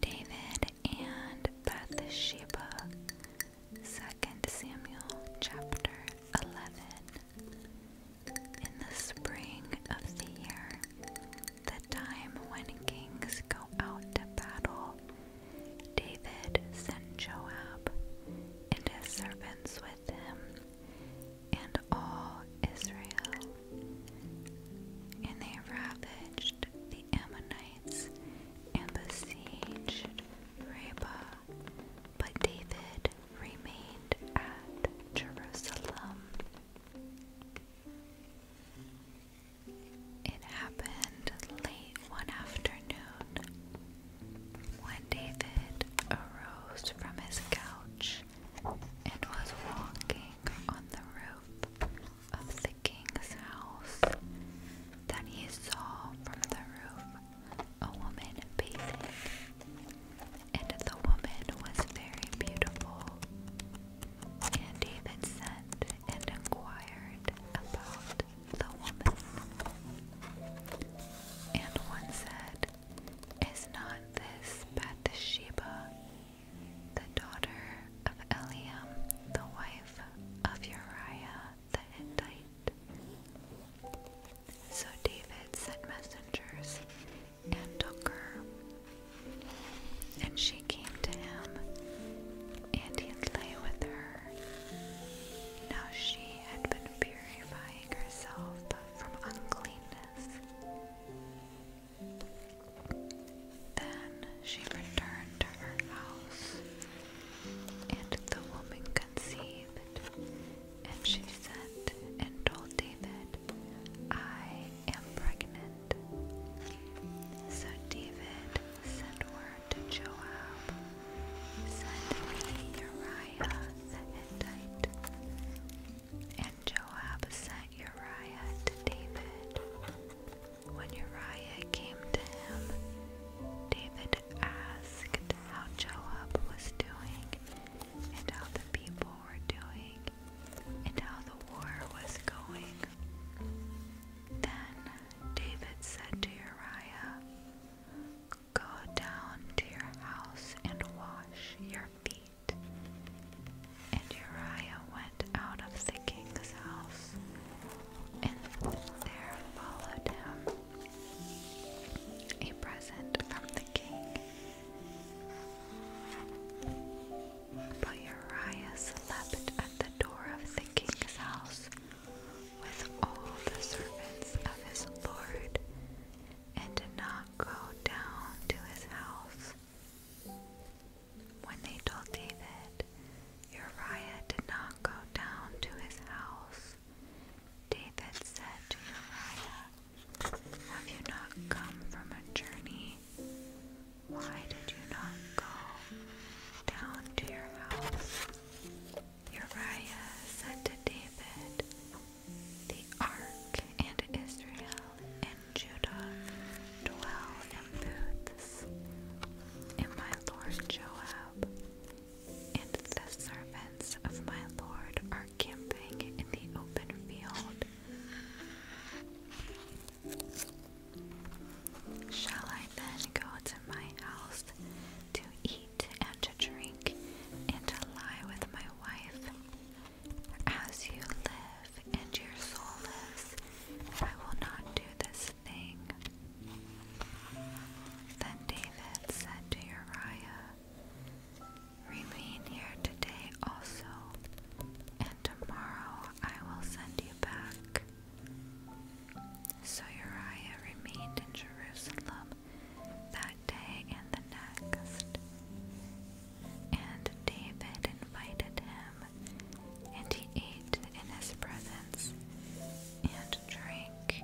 David and Bathsheba, 2 Samuel chapter 11. In the spring of the year, the time when kings go out to battle, David sent Joab and his servants with him and all Israel. And they ravaged the Ammonites and besieged Rabbah, but David remained at Jerusalem. It happened late one afternoon when David arose from his couch and was walking on the roof of the king's house that he saw from the roof a woman bathing. And the woman was very beautiful. And David sent and inquired about the woman. And one said, Is not this Bathsheba, the daughter of Eliam, the wife of Uriah the Hittite. So David sent messengers and took her, and she came to him, and he lay with her. Now she had been purifying herself from uncleanness. Then she returned to her house, and the woman conceived, and she sent and told David, I am pregnant. So David sent word to Joab, send me Uriah the Hittite. And Joab sent Uriah to David. When Uriah came to him, David asked how Joab was doing, and how the people were doing, and how the war was going. Then David said to Uriah, Go down to your house and wash your feet. And Uriah went out of the king's house, and there followed him a present from the king. But Uriah slept at the door of the king's house with all the servants of his lord, and did not go down to his house. When they told David, Uriah did not go down to his house. David said to Uriah, Have you not come from a journey? Why did you not go down to your house? Uriah said to David, the ark and Israel and Judah dwell in booths, and my lord Joab and the servants of my lord are camping in the open field. Shall I then go to my house to eat and to drink and to lie with my wife? As you live and your soul lives, I will not do this thing. Then David said to Uriah, Remain here today also, and tomorrow I will send you back. So Uriah remained in Jerusalem that day and the next. And David invited him, and he ate in his presence, and drank.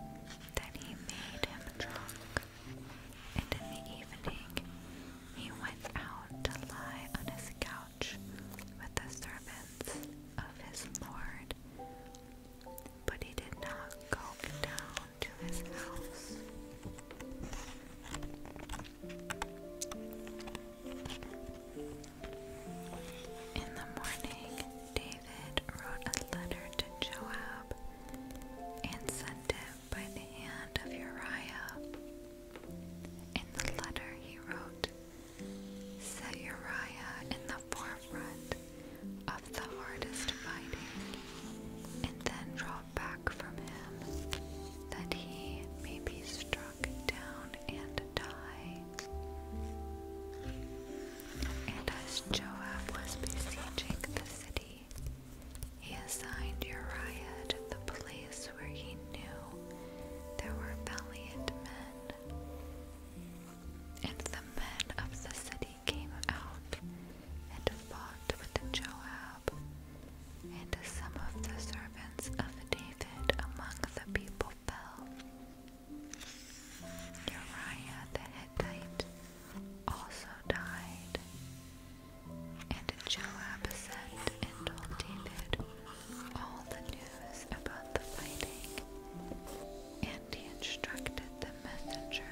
Then he made him drunk. And in the evening he went out to lie on his couch with the servants of his Lord. But he did not go down in the morning, David wrote a letter to Joab and sent it by the hand of Uriah. In the letter, he wrote, Set Uriah in the forefront of the hardest fighting, and then draw back from him, that he may be struck down and die. And as Joab was besieging the city, he assigned Uriah the place where he knew there were valiant men. And the men of the city came out and fought with Joab and some of the servants of David among the people fell. Uriah the Hittite also died. And Joab sent and told David all the news about the fighting, and he instructed the messenger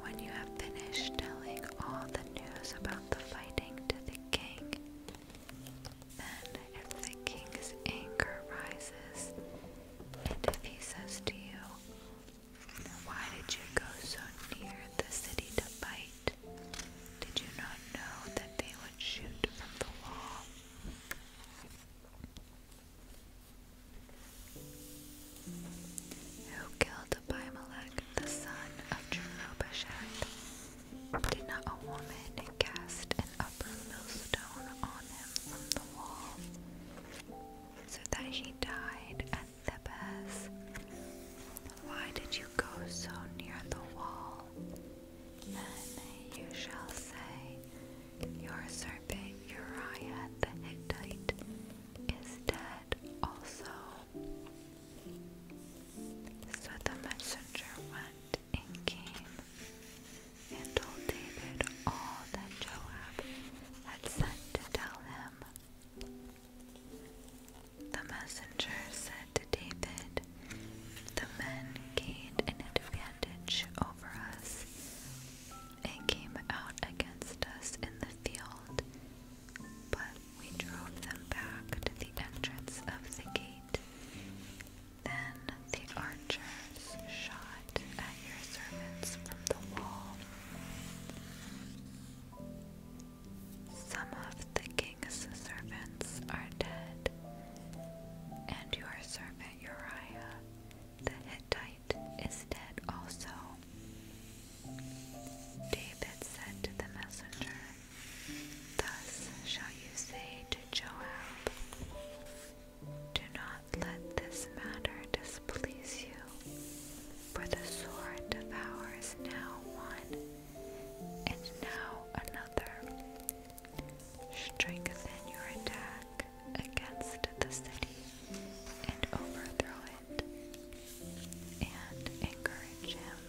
when you have finished telling all the news about the fighting to the king, then if the king's anger rises, and if he says to you, Why did you go so near the city to fight? Did you not know that they would shoot from the wall? who killed Abimelech, the son of Jerubbabel. Did not a woman cast an upper millstone on him from the wall, so that he died at Thebes? Why did you go so near the wall? Then you shall say, Your servant Uriah the Hittite is dead also. So the messenger went and came and told David all that Joab had sent to tell him. The messenger said to David, The men gained an advantage over us and came out against us in the field but we drove them back to the entrance of the gate. Then the archers shot at your servants from the wall. Some of the king's servants are dead, and your servant Uriah the Hittite is dead also. David said to the messenger, Thus shall you say to Joab, Do not let this matter displease you, for the sword devours now one and now another. Strengthen your attack against the city and overthrow it and encourage him.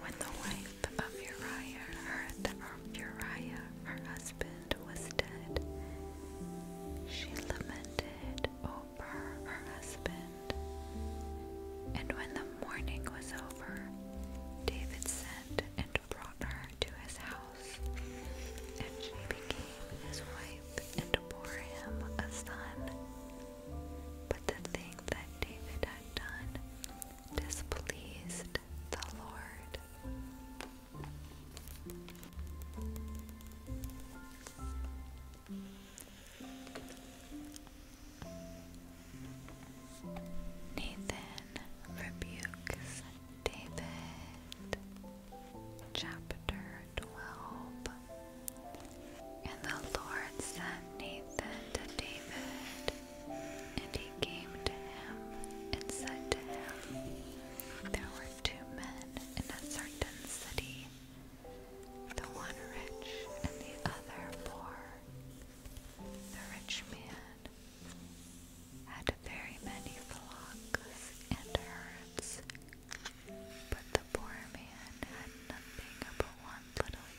When the wife of Uriah heard that Uriah, her husband, was dead, she lamented over her husband. And when the mourning was over, David sent and brought her to his house, and she became his wife and bore him a son. But the thing that David had done displeased the Lord. Nathan rebukes David chapter 12. And the Lord sent Nathan to David, and he came to him and said to him, There were two men in a certain city, the one rich and the other poor. The rich man had very many flocks and herds, but the poor man had nothing but one little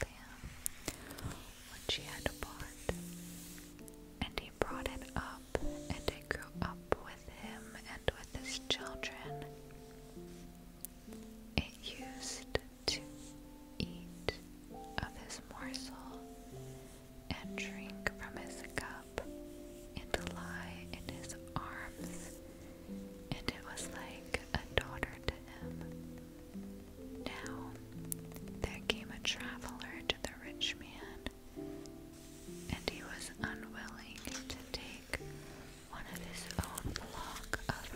lamb which he had bought, and he brought it up, and it grew up with him and with his children. It used to eat of his morsel and drink from his cup and lie in his arms, and it was like a daughter to him. Now there came a traveler to the rich man, and he was unwilling to take one of his own flock of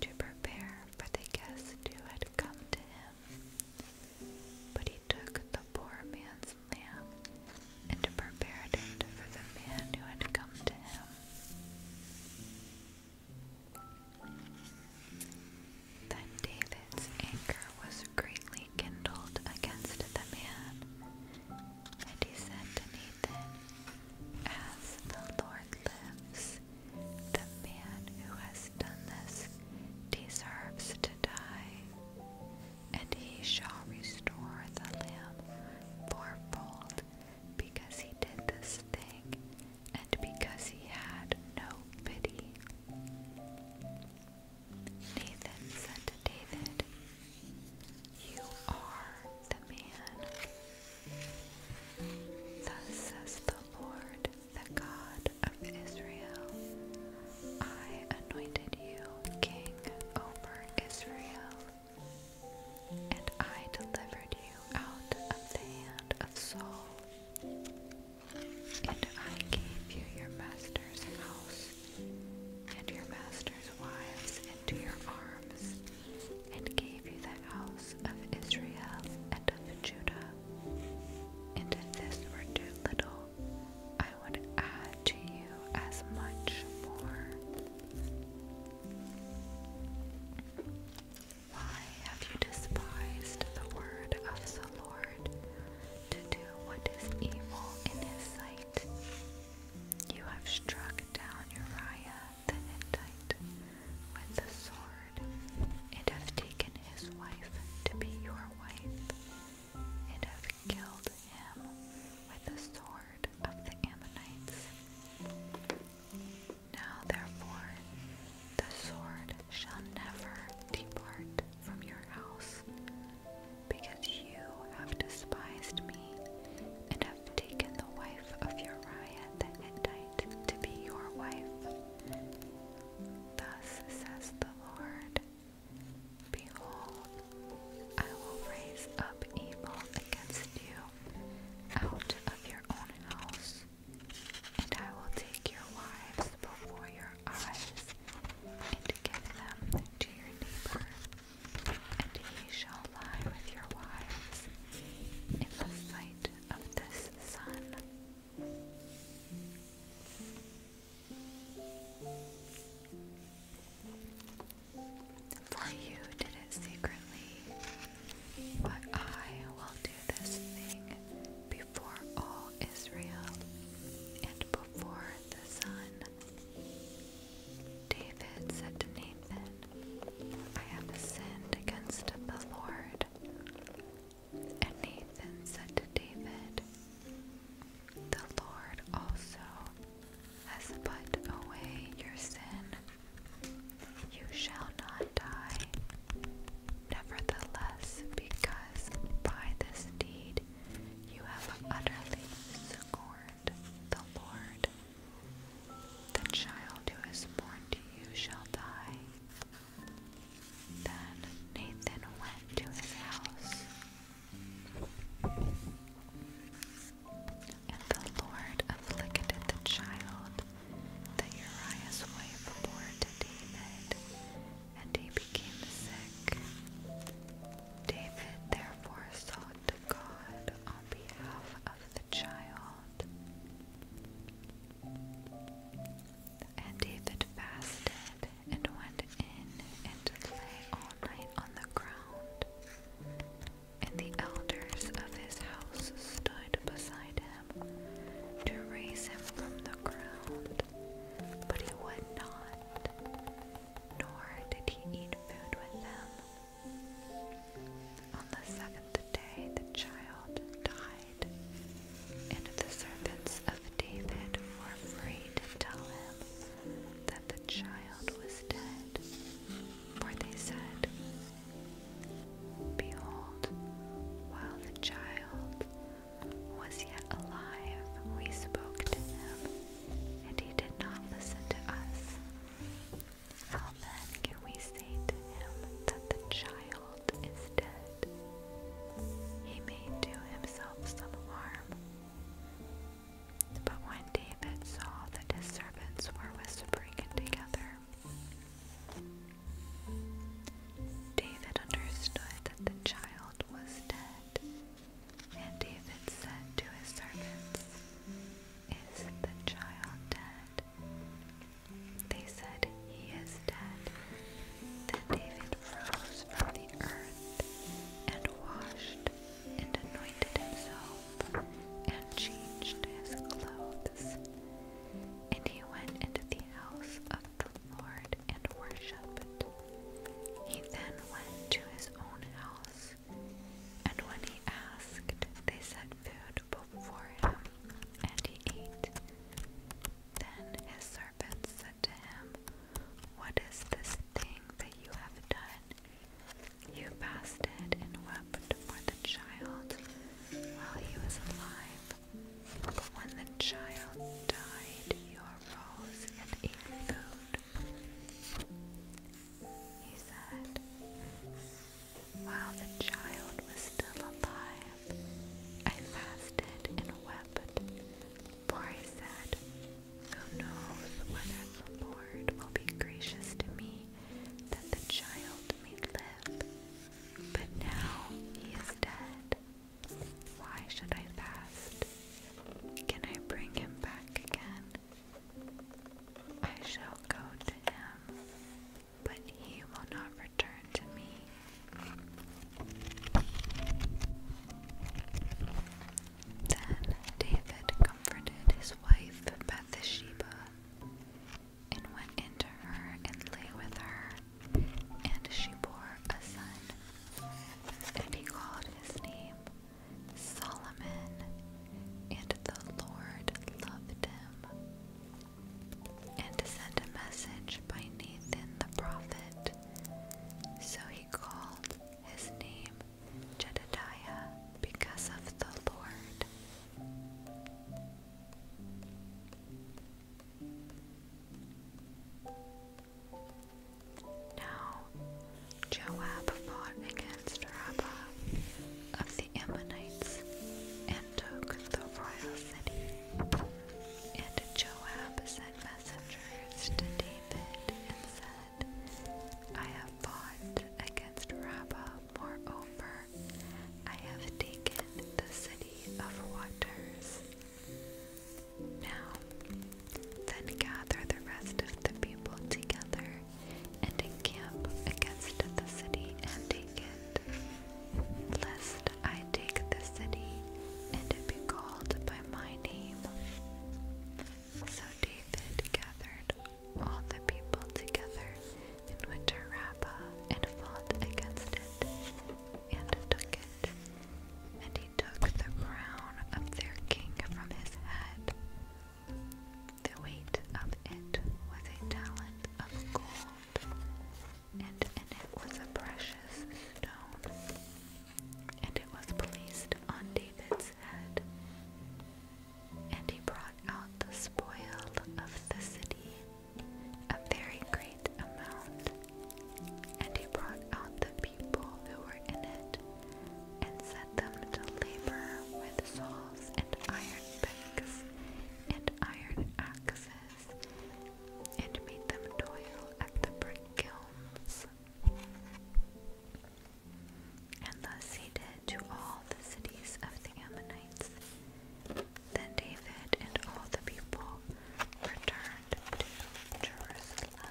to prepare for the guests who had come to him. But he took the poor man's lamb and prepared it for the man who had come to him. Then David's anger was greatly kindled against the man, and he said to Nathan, As the Lord lives, the man who has done this deserves to die and he shall restore the lamb fourfold, because he did this thing, and because he had no pity. Nathan said to David, You are the man. Thus says the Lord, the God of Israel. I anointed you king over Israel, and I delivered you out of the hand of Saul, and I gave you your master's house, and your master's wives into your arms, and gave you the house of Israel and of Judah. And if this were too little, would add to you as much more. Why have you despised the word of the Lord to do what is evil in his sight? You have struck down Uriah the Hittite with the sword and have taken his wife to be your wife and have killed him with the sword of the Ammonites. Now, therefore, the sword shall never depart from your house, because you have despised me and have taken the wife of Uriah the Hittite to be your wife. Thus says the Lord, Behold, I will raise up evil against you out of your own house, and I will take your wives before your eyes, and give them to your neighbor, and he shall lie with your wives in the sight of this sun. For you did it secretly, but I will do this thing before all Israel and before the sun. David said to Nathan, I have sinned against the Lord. And Nathan said to David, The Lord also has put away your sin. You shall not die. Nevertheless, because by this deed you have utterly scorned the Lord, the child who is born to you shall die. Then Nathan went to his house. And the Lord afflicted the child that Uriah's wife bore to David, and he became sick. David therefore sought to God on behalf of the child. And David fasted and went in and lay all night on the ground. And the elders of his house stood beside him to raise him from the ground, but he would not, nor did he eat food with them. On the seventh day, the child died and the servants of David were afraid to tell him that the child was dead, for they said, Behold, while the child was yet alive, we spoke to him, and he did not listen to us. How then can we say to him that the child is dead? He may do himself some harm. But when David saw that his servants were whispering together, David understood that the child was dead. And David said to his servants, Is the child dead? They said, He is dead. Then David rose from the earth and washed and anointed himself and changed his clothes. And he went into the house of the Lord and worshipped. He then went to his own house, and when he asked, they set food before him, and he ate. Then his servants to him, What is this thing that you have done? You fasted and wept for the child while he was alive, but when the child died, you arose and ate food. He said, While the child was still alive, I fasted and wept, for I said, Who knows whether the Lord will be gracious to me that the child may live? But now he is dead. Why should I fast? Can I bring him back again? I shall go to him, but he will not return to me. Then David comforted his wife Bathsheba, and went into her and lay with her, and she bore a son. And he called his name Solomon, and the Lord loved him. And to send a message by Nathan the prophet. So he called his name Jedediah because of the Lord. Now Joab fought against Rabbah of the Ammonites and took the royal city. And Joab sent messengers to David and said, I have fought against Rabbah, more over. I have taken the city of waters. Now, then gather the rest of the people together and encamp against the city and take it lest I take the city and it be called by my name. So David gathered all the people together and went to and fought against it and took it. And he took the crown of their king from his head. The weight of it was a talent of gold and in it was a precious stone, and it was placed on David's head. And he brought out the spoil of the city, a very great amount. And he brought out the people who were in it, and set them to labor with saws and iron picks and iron axes and made them toil at the brick kilns. And thus he did to all the cities of the Ammonites. Then David and all the people returned to Jerusalem.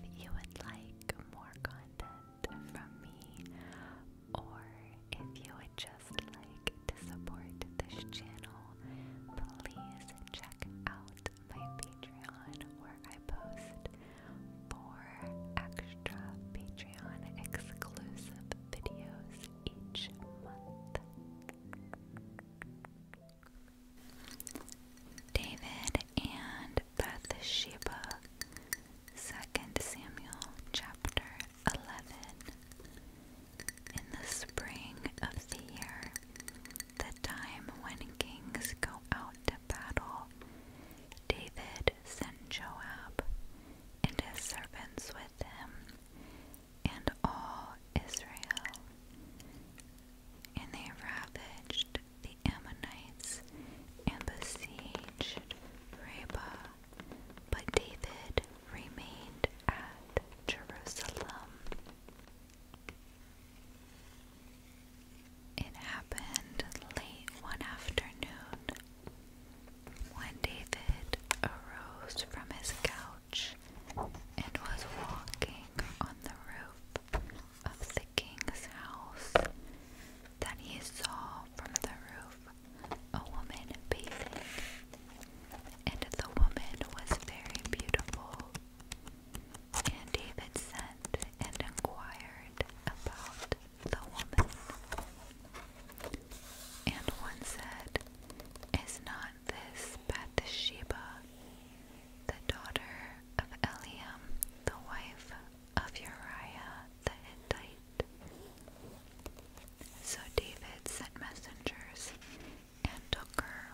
If you would like more content from me, or if you would just like to support this channel, please check out my Patreon where I post four extra Patreon exclusive videos each month. David and Bathsheba, 2 Samuel chapter 11. In the spring of the year, the time when kings go out to battle, David sent Joab and his servants with him and all Israel. And they ravaged the Ammonites and besieged Reba, but David remained at Jerusalem. It happened late one afternoon when David arose from his couch and was walking on the roof of the king's house Then he saw from the roof a woman bathing. And the woman was very beautiful and David sent and inquired about the woman. And one said, Is not this Bathsheba, the daughter of Eliam, the wife of Uriah the Hittite? So David sent messengers and took her.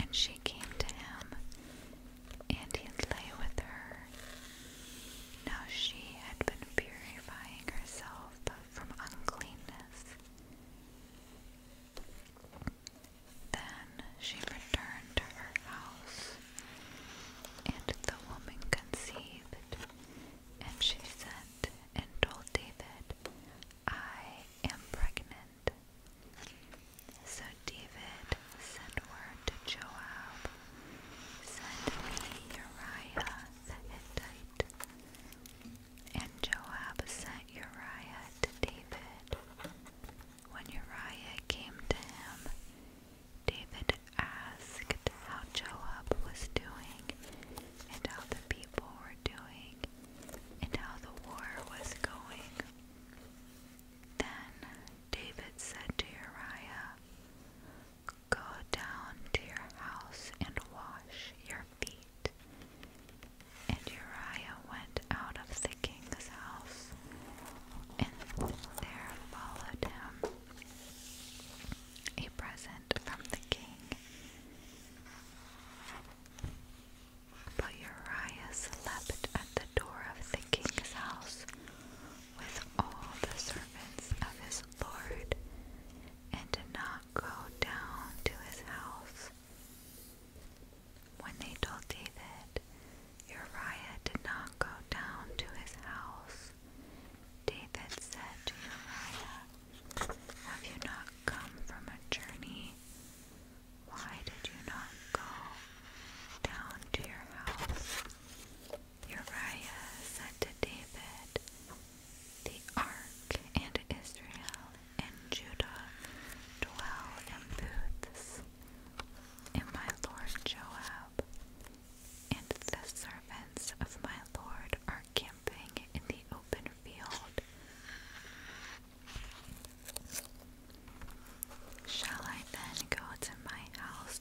And she came to him, and he lay with her. Now she had been purifying herself from uncleanness. Then she returned to her house, and the woman conceived, and she sent and told David, I am pregnant. So David sent word to Joab, Send me Uriah the Hittite. And Joab sent Uriah to David. When Uriah came to him, David asked how Joab was doing and how the people were doing and how the war was going. Then David said to Uriah, Go down to your house and wash your feet. And Uriah went out of the king's house, and there followed him a present from the king. But Uriah slept at the door of the king's house with all the servants of his lord, and did not go down to his house. When they told David, Uriah did not go down to his house. David said to Uriah, Have you not come from a journey? Why did you not go down to your house? Uriah said to David, The ark and Israel and Judah dwell in booths, and my lord Joab and the servants of my lord are killed. Shall I then go to my house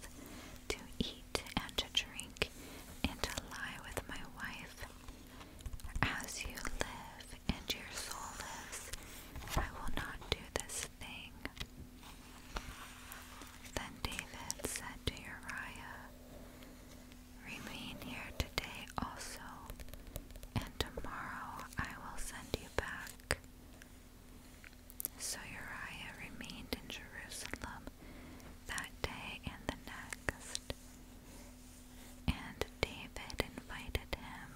to eat and to drink and to lie with my wife? As you live and your soul lives, I will not do this thing. Then David said to Uriah, Remain here today also, and tomorrow I will send you back. So Uriah remained in Jerusalem that day and the next. And David invited him,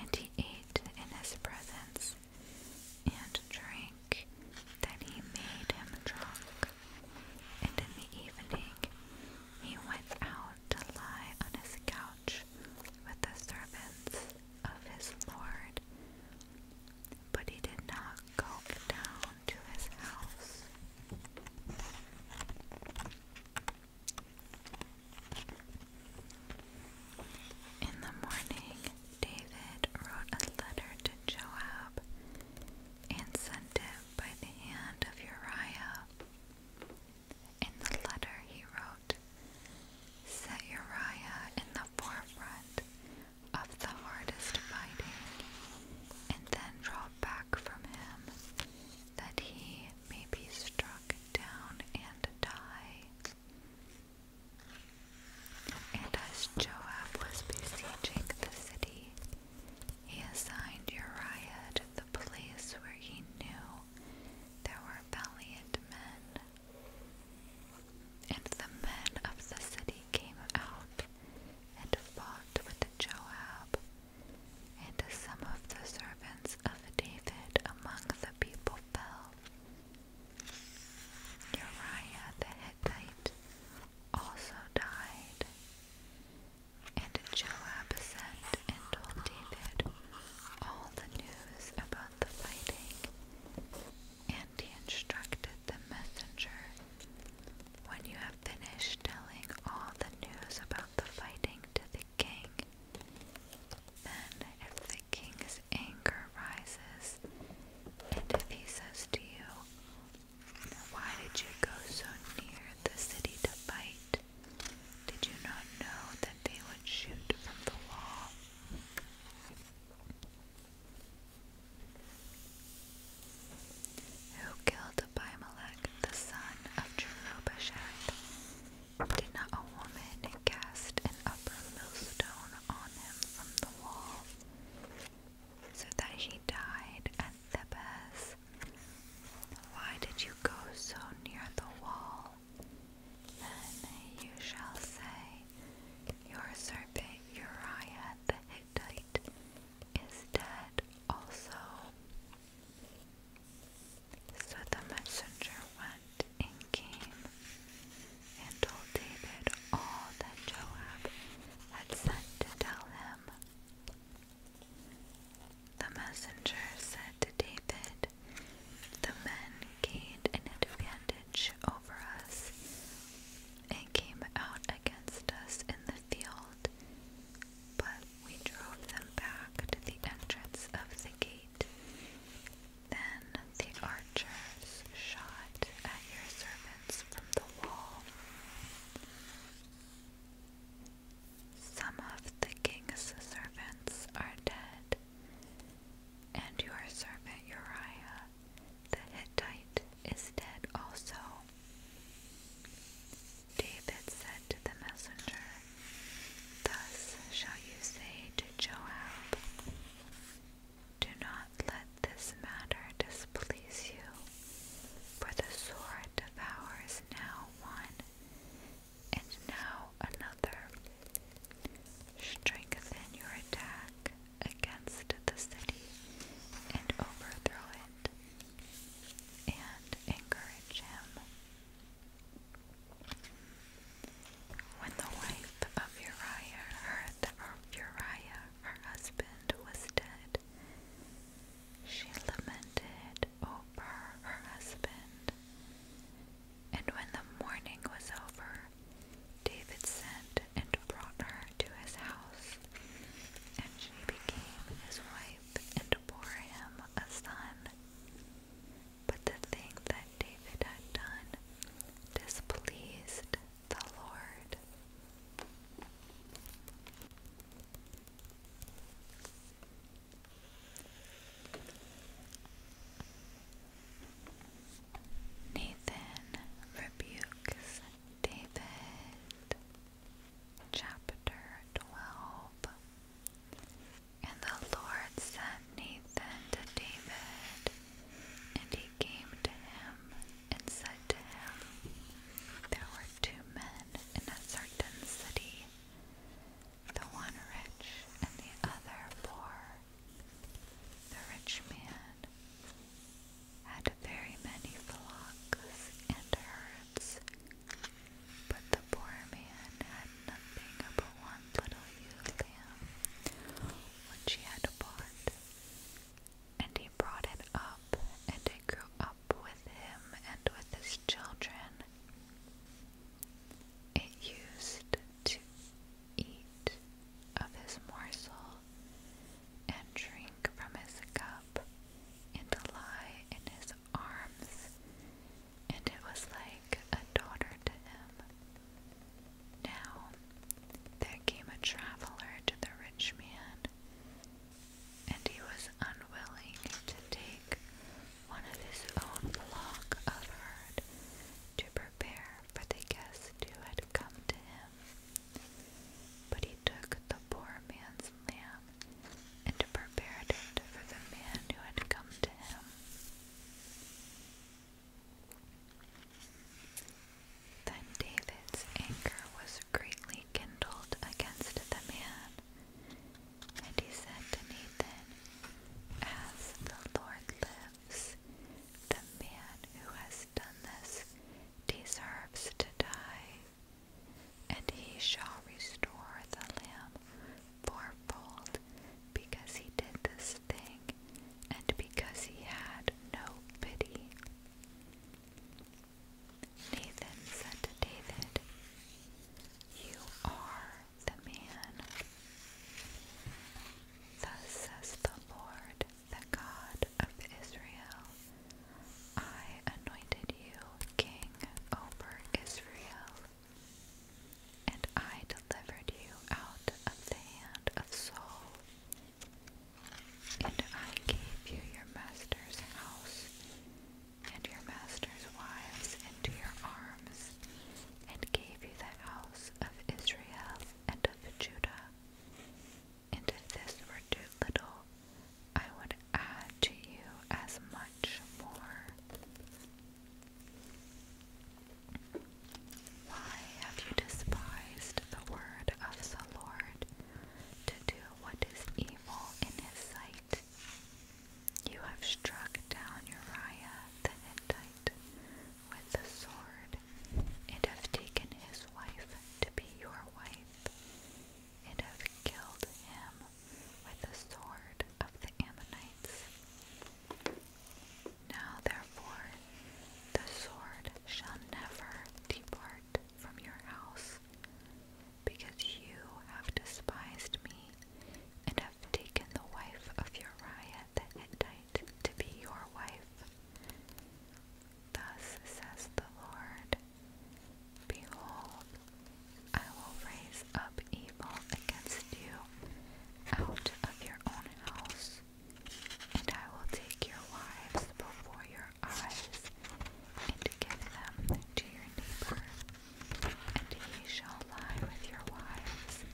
and he ate in his presence, and drank. Then he made him drunk. And in the evening he went out to lie on his couch with the servants of his lord, but he did not go down to his house. In the morning, David wrote a letter to Joab and sent it by the hand of Uriah, in the letter he wrote, Set Uriah in the forefront of the hardest fighting, and then draw back from him, that he may be struck down and die. And as Joab was besieging the city, he assigned Uriah to the place where he knew there were valiant men. And the men of the city came out and fought with Joab and some of the servants of David among the people fell. Uriah the Hittite also died, and Joab sent and told David all the news about the fighting. And he instructed the messenger, When you have finished telling all the news about the fighting to the king, then if the king's anger rises, and if he says to you, why did you go so near the city to fight? Did you not know that they would shoot from the wall? Who killed Abimelech, the son of Jerubbashad? Did not a woman cast an upper millstone on him from the wall, so that he died at Thebes? Why did you go so near the wall? Then you shall say, Your serpent Uriah the Hittite is dead also. So the messenger went and came and told David all that Joab had sent to tell him. The messenger said to David, The men gained an advantage over us and came out against us in the field, but we drove them back to the entrance of the gate. Then the archers shot at your servants from the wall. Some of the king's servants are dead, and your servant Uriah the Hittite is dead also. David said to the messenger, Thus shall you say to Joab, Do not let this matter displease you, for the sword devours now one, and now another. Strengthen your attack against the city and overthrow it, and encourage him. When the wife of Uriah heard that Uriah, her husband, was dead, she lamented over her husband. And when the mourning was over, David sent and brought her to his house, and she became his wife and bore him a son. But the thing that David had done displeased the Lord. Nathan rebukes David, chapter 12. And the Lord sent Nathan to David, and he came to him and said to him, there were two men in a certain city, the one rich and the other poor. The rich man had very many flocks and herds, but the poor man had nothing but one little ewe lamb, which he had bought. And he brought it up, and it grew up with him and with his children. It used to eat of his morsel, and drink from his cup, and to lie in his arms, and it was like a daughter to him. Now there came a traveler to the rich man, and he was unwilling to take one of his own flock of herd to prepare for the guest who had come to him. But he took the poor man's lamb and prepared it for the man who had come to him. Then David's anger was greatly kindled against the man. And he said to Nathan, As the Lord lives, the man who has done this deserves to die, and he shall restore the lamb fourfold because he did this thing and because he had no pity. Nathan said to David, You are the man. Thus says the Lord, the God of Israel, I anointed you king over Israel, and I delivered you out of the hand of Saul and I gave you your master's house, and your master's wives into your arms, and gave you the house of Israel and of Judah. And if this were too little, I would add to you as much more. Why have you despised the word of the Lord? to do what is evil in his sight. You have struck down Uriah the Hittite with the sword, and have taken his wife to be your wife, and have killed him with the sword of the Ammonites. Now, therefore, the sword shall never depart from your house, because you have despised me and have taken the wife of Uriah the Hittite to be your wife. Thus says the Lord, Behold, I will raise up evil against you out of your own house, and I will take your wives before your eyes, and give them to your neighbor, and he shall lie with your wives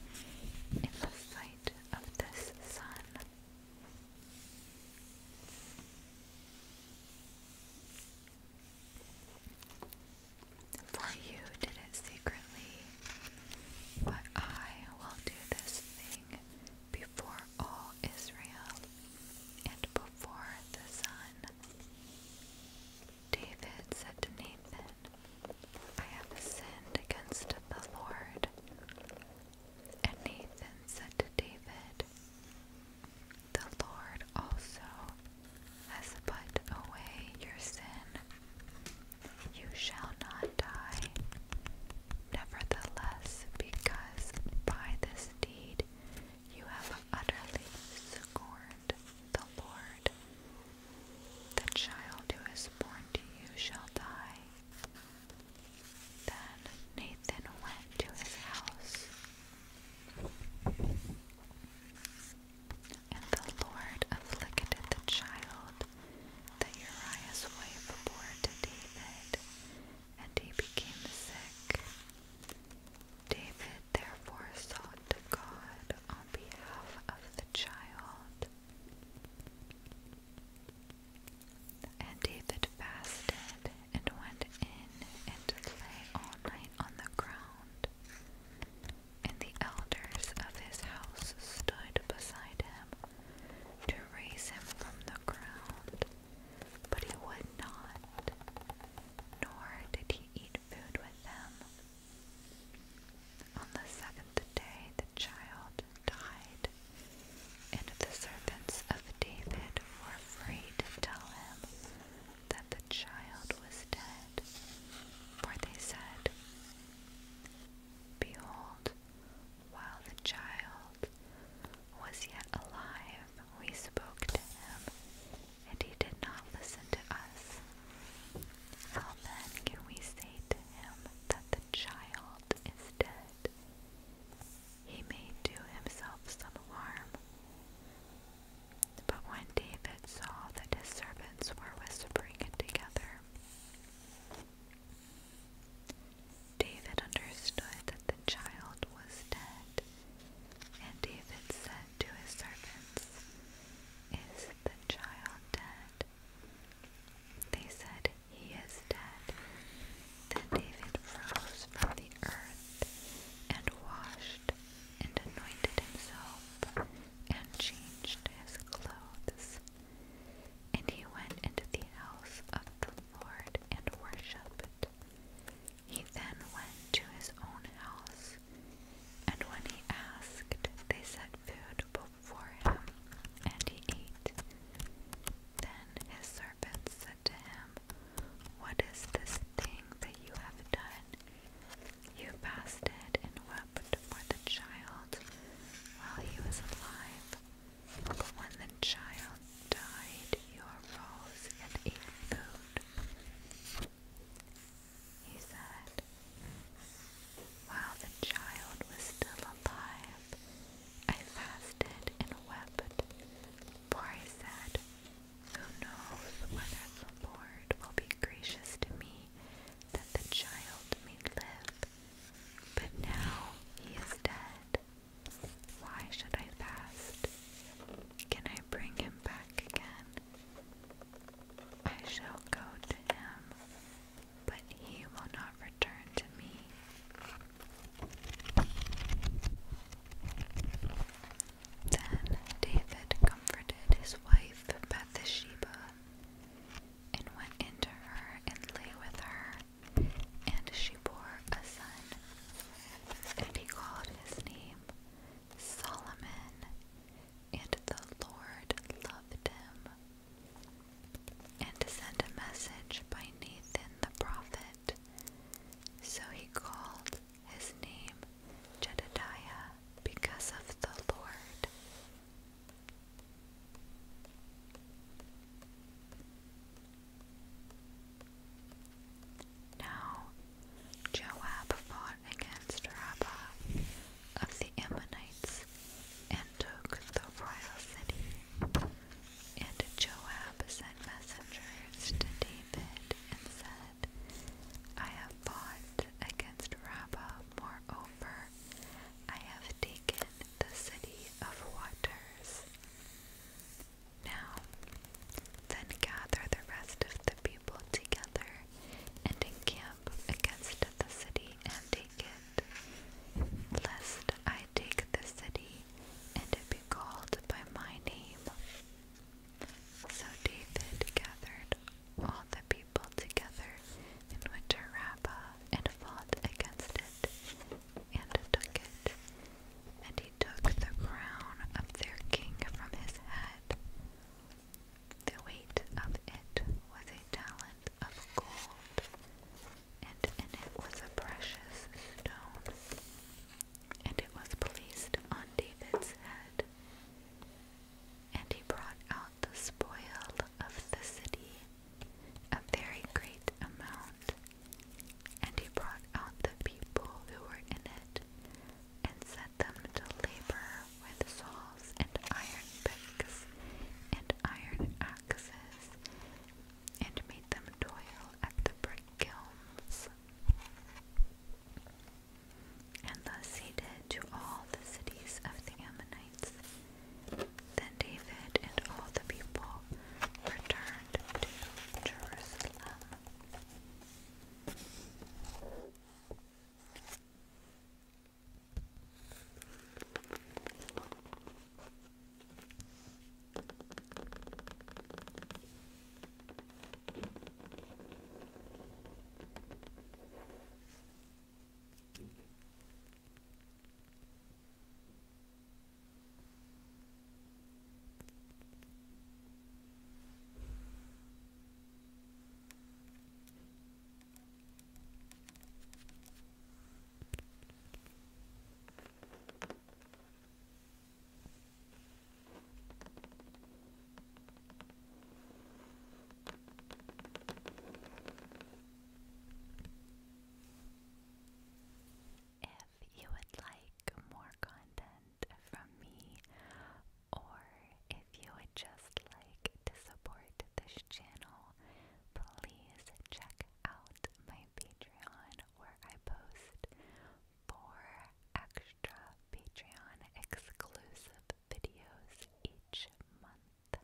in the sight of this sun. For you did it secretly, but I will do this thing before all Israel and before the sun. David said to Nathan, I have sinned against the Lord. And Nathan said to David, The Lord also has put away your sin. You shall not die. Nevertheless, because by this deed you have utterly scorned the Lord. The child who is born to you shall die. Then Nathan went to his house. And the Lord afflicted the child that Uriah's wife bore to David, and he became sick. David therefore sought to God on behalf of the child. And David fasted and went in and lay all night on the ground. And the elders of his house stood beside him to raise him from the ground but he would not, nor did he eat food with them. On the seventh day the child died, and the servants of David were afraid to tell him that the child was dead, for they said, Behold, while the child was yet alive, we spoke to him, and he did not listen to us. How then can we say to him that the child is dead? He may do himself some harm. But when David saw that his servants were whispering together, David understood that the child was dead, and David said to his servants, Is the child dead? They said, He is dead. Then David rose from the earth and washed and anointed himself and changed his clothes. And he went into the house of the Lord and worshipped. He then went to his own house, and when he asked, they set food before him, and he ate. Then his servants said to him, What is this thing that you have done? You fasted and wept for the child while he was alive. But when the child died, you arose and ate food. He said, While the child was still alive, I fasted and wept, for I said, knows whether the Lord will be gracious to me that the child may live? But now he is dead. Why should I fast? Can I bring him back again? I shall go to him, but he will not return to me. Then David comforted his wife Bathsheba and went into her and lay with her and she bore a son, and he called his name Solomon, and the Lord loved him, and sent a message by Nathan the prophet. So he called his name Jedediah because of the Lord. Now Joab fought against Rabbah of the Ammonites and took the royal city. And Joab sent messengers to David and said, I have fought against Rabbah, moreover, I have taken the city of waters. Now, then gather the rest of the people together and encamp against the city and take it, lest I take the city and it be called by my name. So David gathered all the people together in winter to and fought against it and took it. And he took the crown of their king from his head. The weight of it was a talent of gold, and in it was a precious stone. And it was placed on David's head. And he brought out the spoil of the city a very great amount, and he brought out the people who were in it, and set them to labor with saws and iron picks and iron axes, and made them toil at the brick kilns. And thus he did to all the cities of the Ammonites, then David and all the people returned to Jerusalem. Air if you would like more content from me or if you would just like to support this channel, please check out my Patreon where I post four extra Patreon exclusive videos each month.